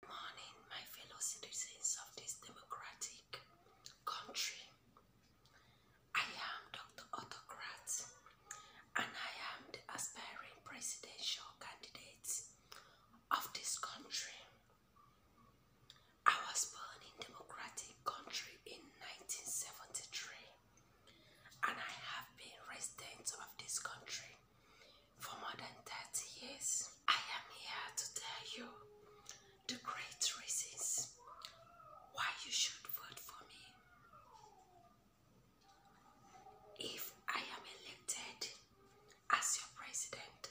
morning, my fellow citizens of this democratic country. I am Dr. Autocrat, and I am the aspiring presidential candidate of this country. I was born in democratic country in 1973, and I have been resident of this country for more than 30 years. I am here to tell you the great reasons why you should vote for me. If I am elected as your president,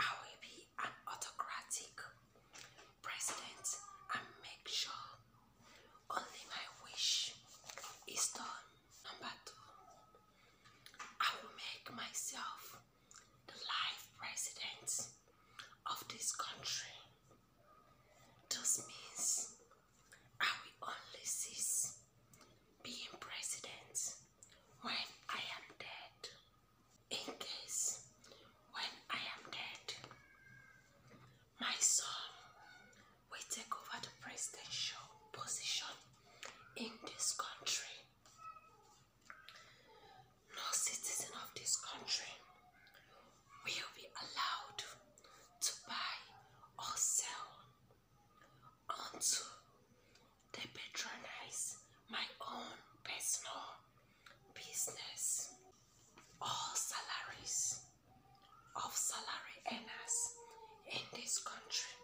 I will be an autocratic president and make sure only my wish is done. Number I will make myself the life president of this country. This means I will only cease being president when I am dead. In case when I am dead, my son will take over the presidential position in this country. No citizen of this country will be allowed to buy or sell until they patronize my own personal business. All salaries of salary earners in this country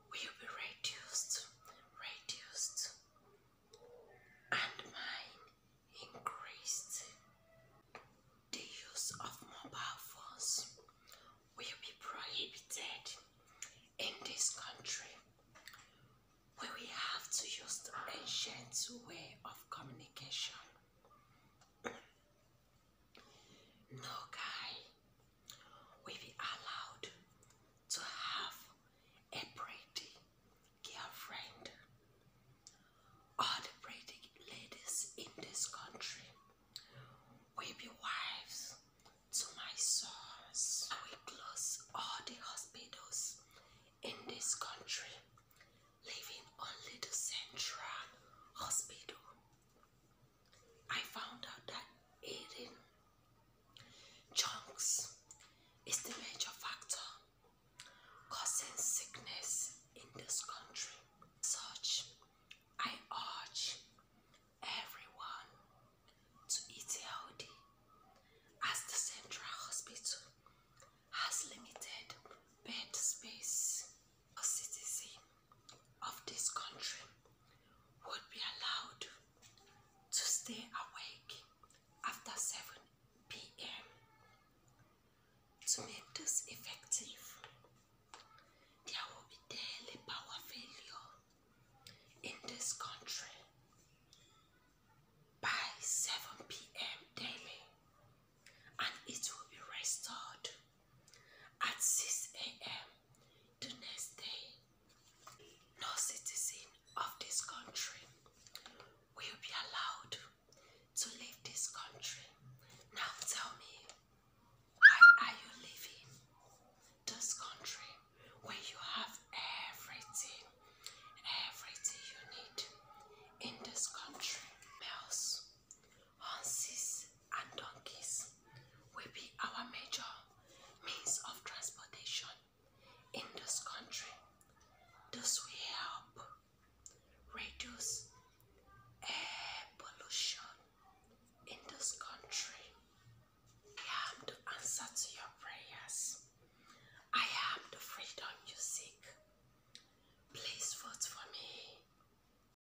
will be reduced, reduced, and mine increased. The use of mobile phones will be prohibited in this country. We will have to use the ancient way of communication no guy will be allowed to have a pretty girlfriend. All the pretty ladies in this country will be wives to my sons. I close all the hospitals in this country, leaving only the central hospital. I found out that eating chunks is the major factor causing sickness in this country. Such, I urge everyone to eat healthy as the central hospital has limited bed space for citizens of this country would be allowed to stay awake after 7 p.m. To make this effective, there will be daily power failure in this country by 7 p.m. daily and it will be restored at 6 a.m. the next day. No citizen of this country will be allowed to leave this country. Now tell me, why are you leaving this country where you have everything, everything you need in this country? Else, horses, and donkeys will be our major means of transportation in this country. This will help reduce air pollution in this country. I am to answer to your prayers. I am the freedom you seek. Please vote for me.